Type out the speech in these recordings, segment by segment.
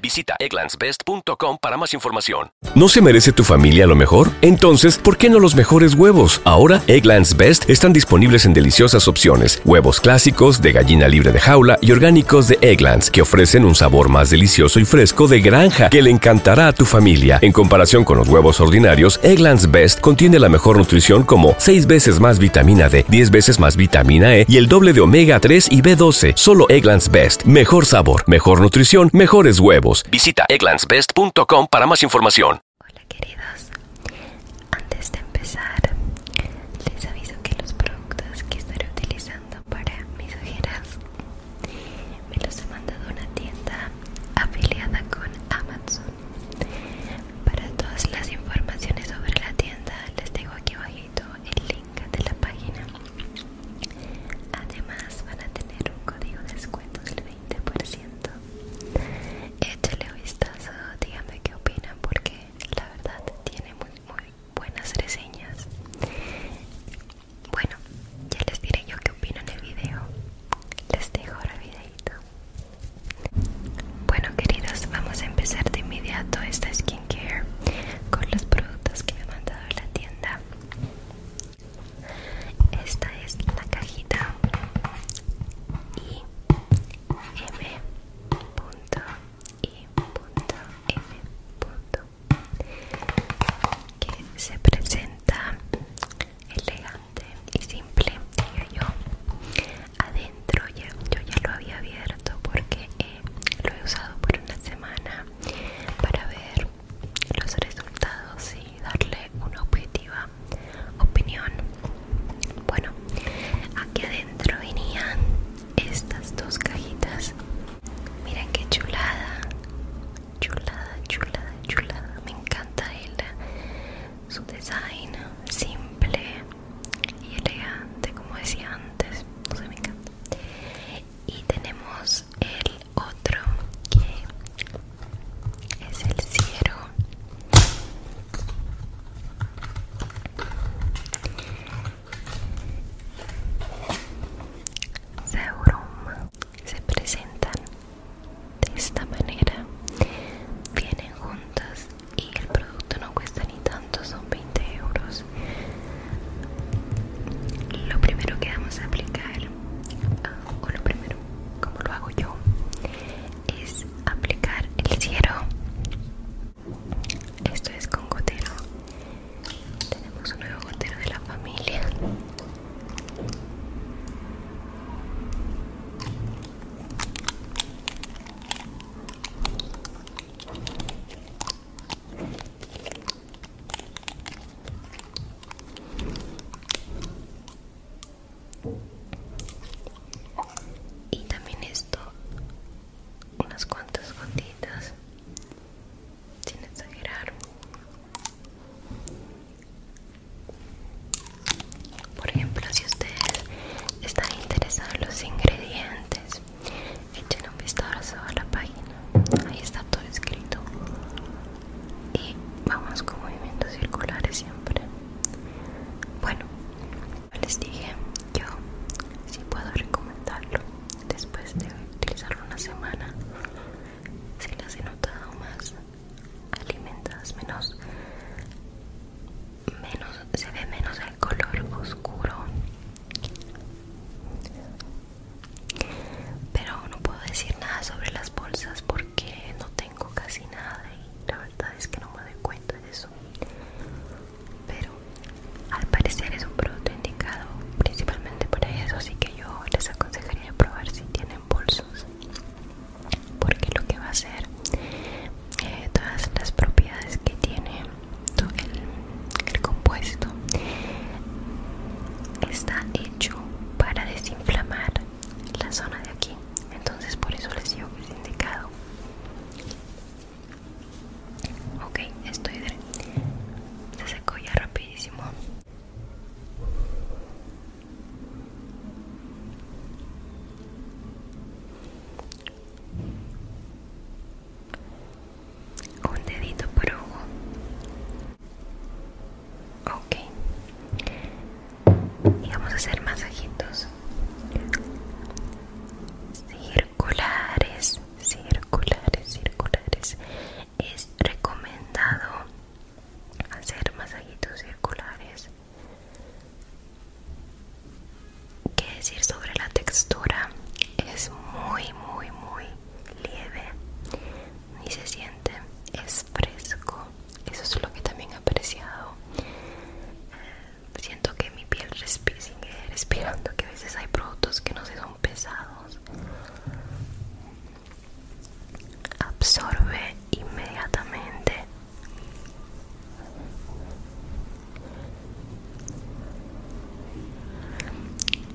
Visita egglandsbest.com para más información. ¿No se merece tu familia lo mejor? Entonces, ¿por qué no los mejores huevos? Ahora, Egglands Best están disponibles en deliciosas opciones. Huevos clásicos, de gallina libre de jaula y orgánicos de Egglands, que ofrecen un sabor más delicioso y fresco de granja que le encantará a tu familia. En comparación con los huevos ordinarios, Egglands Best contiene la mejor nutrición como 6 veces más vitamina D, 10 veces más vitamina E y el doble de omega 3 y B12. Solo Egglands Best. Mejor sabor, mejor nutrición, mejores huevos. Visita egglandsbest.com para más información. Hola queridos. Antes de empezar, les aviso que los productos que estaré utilizando para mis ojeras me los he mandado una tienda afiliada con Amazon. Para todas las informaciones sobre la tienda les dejo aquí abajito el link de la página. Además van a tener un código de descuento del 20%. Échale un vistazo, díganme qué opinan porque la verdad tiene muy, muy buenas reseñas. Bueno, ya les diré yo qué opino en el video. Les dejo ahora el videito. Bueno queridos, vamos a empezar de inmediato. Esta esquina care con los productos que me han mandado la tienda. Esta es la cajita y m punto y punto m punto que se presenta elegante y simple diga yo yo ya lo había abierto porque eh, lo he usado por una semana para ver los resultados y darle una objetiva opinión bueno aquí adentro venían estas dos cajitas miren qué chulada chulada chulada chulada me encanta el su design simple y elegante como decía antes no sé me encanta y tenemos el otro que es el cielo se presentan de esta manera vienen juntas y el producto no cuesta ni tanto, son 20 euros. Lo primero que vamos a aplicar, ah, o lo primero, como lo hago yo, es aplicar el cielo. Esto es con gotero. Tenemos un nuevo gotero de la familia y también esto unas cuantas gotitas sin exagerar por ejemplo si ustedes están interesados en los ingredientes echen un vistazo a la página ahí está todo escrito y vamos con movimientos circulares siempre bueno les dije yo si puedo recomendarlo después de utilizarlo una semana si las he notado más alimentadas menos menos se ve menos el color oscuro pero no puedo decir nada sobre las bolsas porque no tengo casi nada y la verdad es que no me doy cuenta de eso. Pero al parecer es un producto indicado principalmente para eso, así que yo les aconsejaría probar si tienen bolsos. Porque lo que va a hacer, eh, todas las propiedades que tiene el, compuesto está hecho para desinflamar la zona de aquí entonces por eso les digo que es indicado ok estoy de, se secó ya rapidísimo un dedito por ojo ok y vamos a hacer masajitos circulares circulares circulares es recomendado hacer masajitos circulares qué decir sobre la textura es muy muy muy lieve y se siente es fresco eso es lo que también he apreciado siento que mi piel respira, sigue respirando que a veces hay productos que no se son pesados absorbe inmediatamente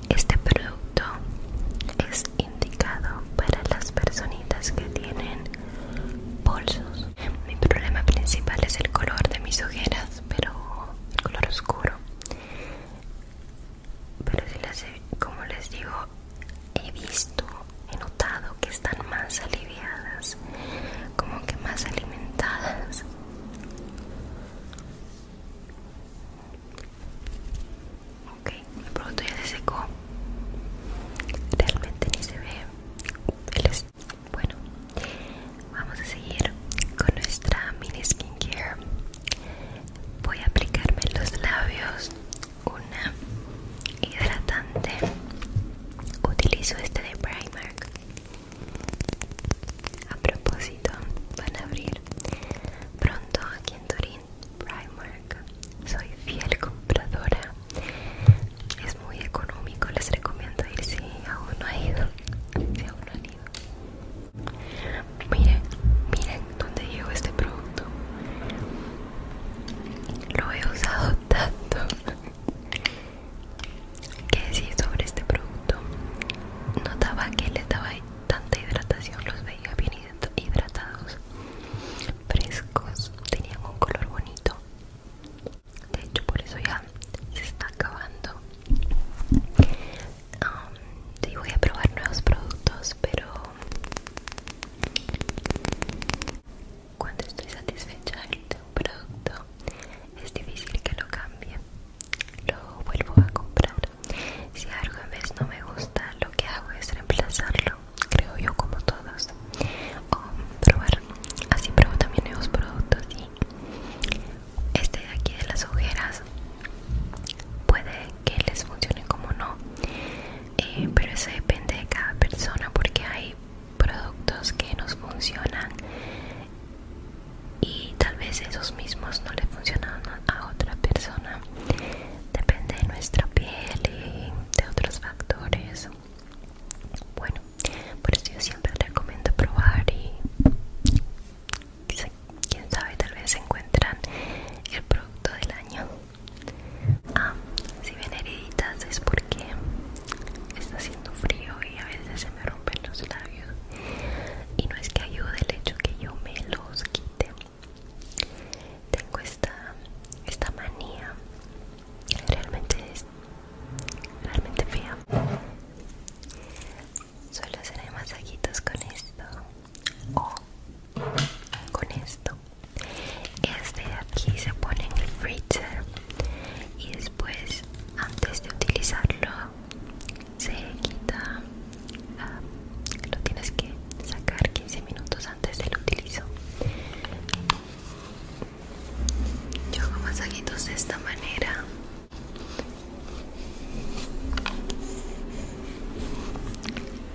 este producto es indicado para las personitas que tienen bolsos. Mi problema principal es el color de mis ojeras, pero el color oscuro. Pero si las como les digo, he visto, he notado que están más aliviadas, como que más alimentadas. Ok, el producto ya se secó. Realmente ni se ve. Bueno, vamos a seguir con nuestra mini skincare. Voy a aplicarme en los labios una hidratante. Utilizo este de Primark a propósito, van a abrir pronto aquí en Turín Primark. Soy fiel compradora. Es muy económico, les recomiendo ir si aún no ha ido. Si aún no han ido. Miren, miren dónde llegó este producto. Lo he usado tanto qué decir sobre este producto notaba que le daba tanta hidratación los veía bien hidratados frescos tenían un color bonito de hecho por eso ya se está acabando um, voy a probar nuevos productos pero cuando estoy satisfecha de un producto es difícil que lo cambie lo vuelvo a comprar. Si algo en vez no me gusta, lo que hago es reemplazarlo, creo yo, como todos. O probar, así pruebo también nuevos productos. Y este de aquí de las ojeras puede que les funcione como no, eh, pero eso depende de cada persona porque hay productos que nos funcionan y tal vez esos mismos no le funcionan a otra persona depende de nuestra piel y de otros factores bueno por eso yo siempre recomiendo probar y quién sabe tal vez encuentran el producto del año ah, si ven heriditas es porque está haciendo frío y a veces se me rompen los labios y no es que ayude el hecho que yo me los quite tengo esta esta manía realmente es realmente fea solo hacer masajitos con esto o con esto este de aquí se pone en el freezer y después antes de utilizarlo se quita, ah, lo tienes que sacar 15 minutos antes del utilizo. Yo hago masajitos de esta manera.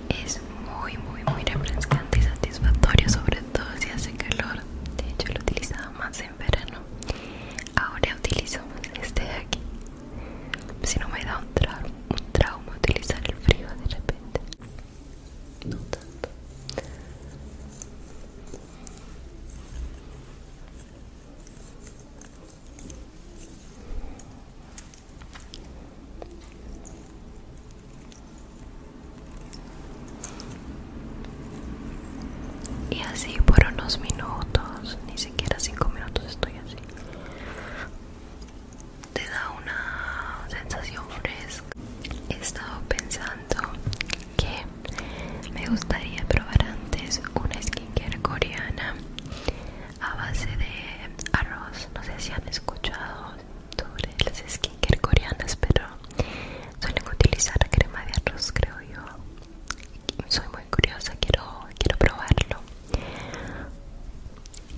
Es muy, muy, muy refrescante y satisfactorio, sobre todo si hace calor. De hecho, lo utilizaba más en verano ahora utilizo este de aquí si no me da un, un trauma utilizar el frío de repente no tanto y así por unos minutos, ni siquiera cinco minutos estoy así. Te da una sensación fresca. He estado pensando que me gustaría probar antes una skincare coreana a base de arroz. No sé si han escuchado sobre las skincare coreanas, pero suelen utilizar crema de arroz, creo yo soy muy curiosa, quiero, quiero probarlo.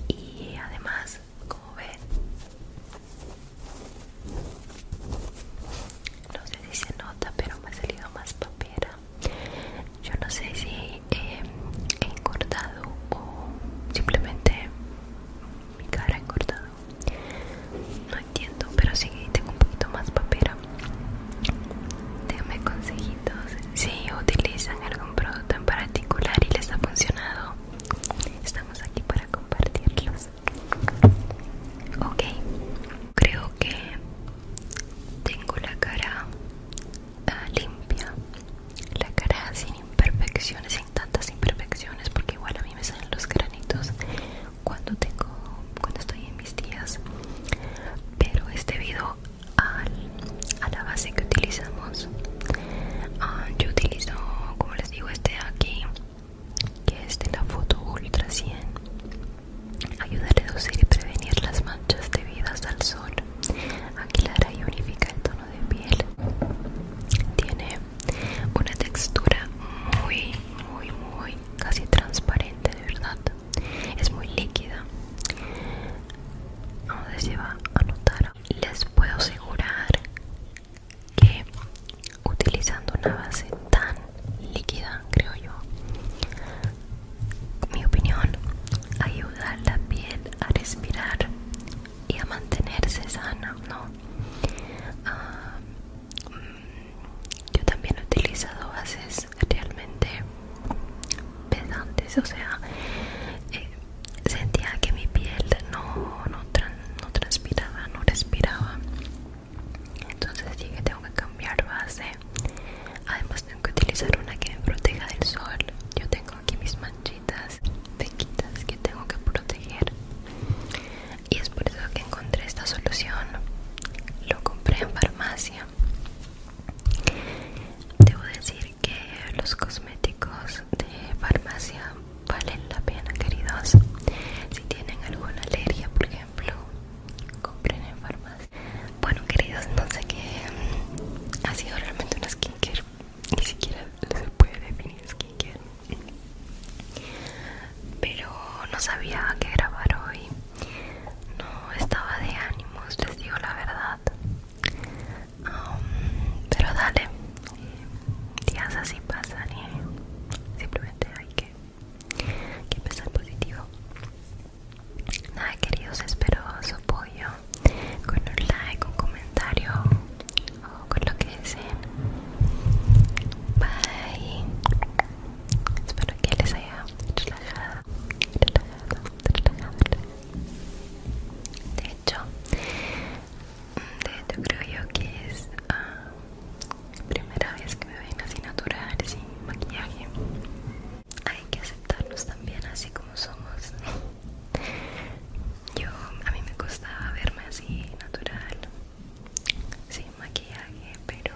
Y además, como ven, no sé si se nota, pero me ha salido más papera. Yo no sé si eh, he engordado o simplemente mi cara ha engordado. No entiendo, pero sí tengo un poquito más papera. Déjame consejitos. Si utilizan algún producto en particular y les ha funcionado, estamos aquí para compartirlos. Ok, creo que tengo la cara ah, limpia, la cara sin imperfecciones, sin tantas imperfecciones, porque igual a mí me salen los granitos cuando tengo cuando estoy en mis días pero es debido a la base que utilizamos ah, yo utilizo como les digo este aquí que es de la foto ultra 100 ayuda a reducir y prevenir las manchas debidas al sol aquí aclara y unifica el tono de piel tiene una textura muy muy muy casi transparente de verdad es muy líquida no sé si va a notar les puedo asegurar que utilizando una base tan líquida creo yo mi opinión ayuda a la piel a respirar y a mantenerse sana no ah, yo también he utilizado bases realmente pesantes o sea eh, sentía que mi piel no, no, transpiraba no respiraba entonces dije tengo que cambiar base además tengo que utilizar una que me proteja del sol yo tengo aquí mis manchitas pequeñas que tengo que proteger y es por eso que encontré esta solución lo compré en farmacia Debo decir que los cosméticos de farmacia valen la pena, queridos. Si tienen alguna alergia, por ejemplo, compren en farmacia. Bueno, queridos, no sé qué mm, ha sido realmente una skincare. Ni siquiera se puede definir skincare. Pero no sabía qué grabar hoy no estaba de ánimos, les digo la verdad. Um, pero dale, eh, días así pasan y simplemente hay que, hay que pensar positivo. Nada queridos, espero su apoyo con un like, un comentario o con lo que deseen. Bye. Espero que les haya relajado. De hecho, creo yo que es ah, la primera vez que me ven así natural, sin maquillaje. Hay que aceptarnos también así como somos. Yo, a mí me costaba verme así natural, sin maquillaje, pero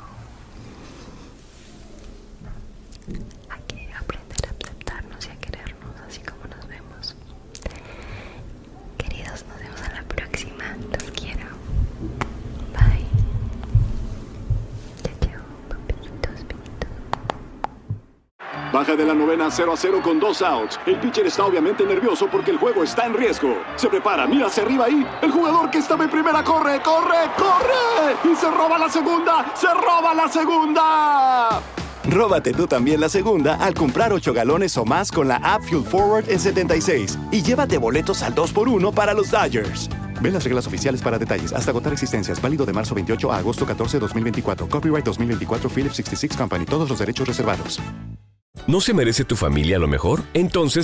hay que aprender a aceptarnos y a querernos así como nos vemos. Queridos, nos vemos a la próxima. Los quiero. Bye. Baja de la novena 0 a 0 con dos outs. El pitcher está obviamente nervioso porque el juego está en riesgo. Se prepara, mira hacia arriba y el jugador que estaba en primera corre, corre, corre. Y se roba la segunda, se roba la segunda. Róbate tú también la segunda al comprar 8 galones o más con la app Fuel Forward en 76 y llévate boletos al 2x1 para los Dodgers. Ve las reglas oficiales para detalles. Hasta agotar existencias. Válido de marzo 28 a agosto 14, 2024. Copyright 2024 philip 66 Company. Todos los derechos reservados. ¿No se merece tu familia lo mejor? Entonces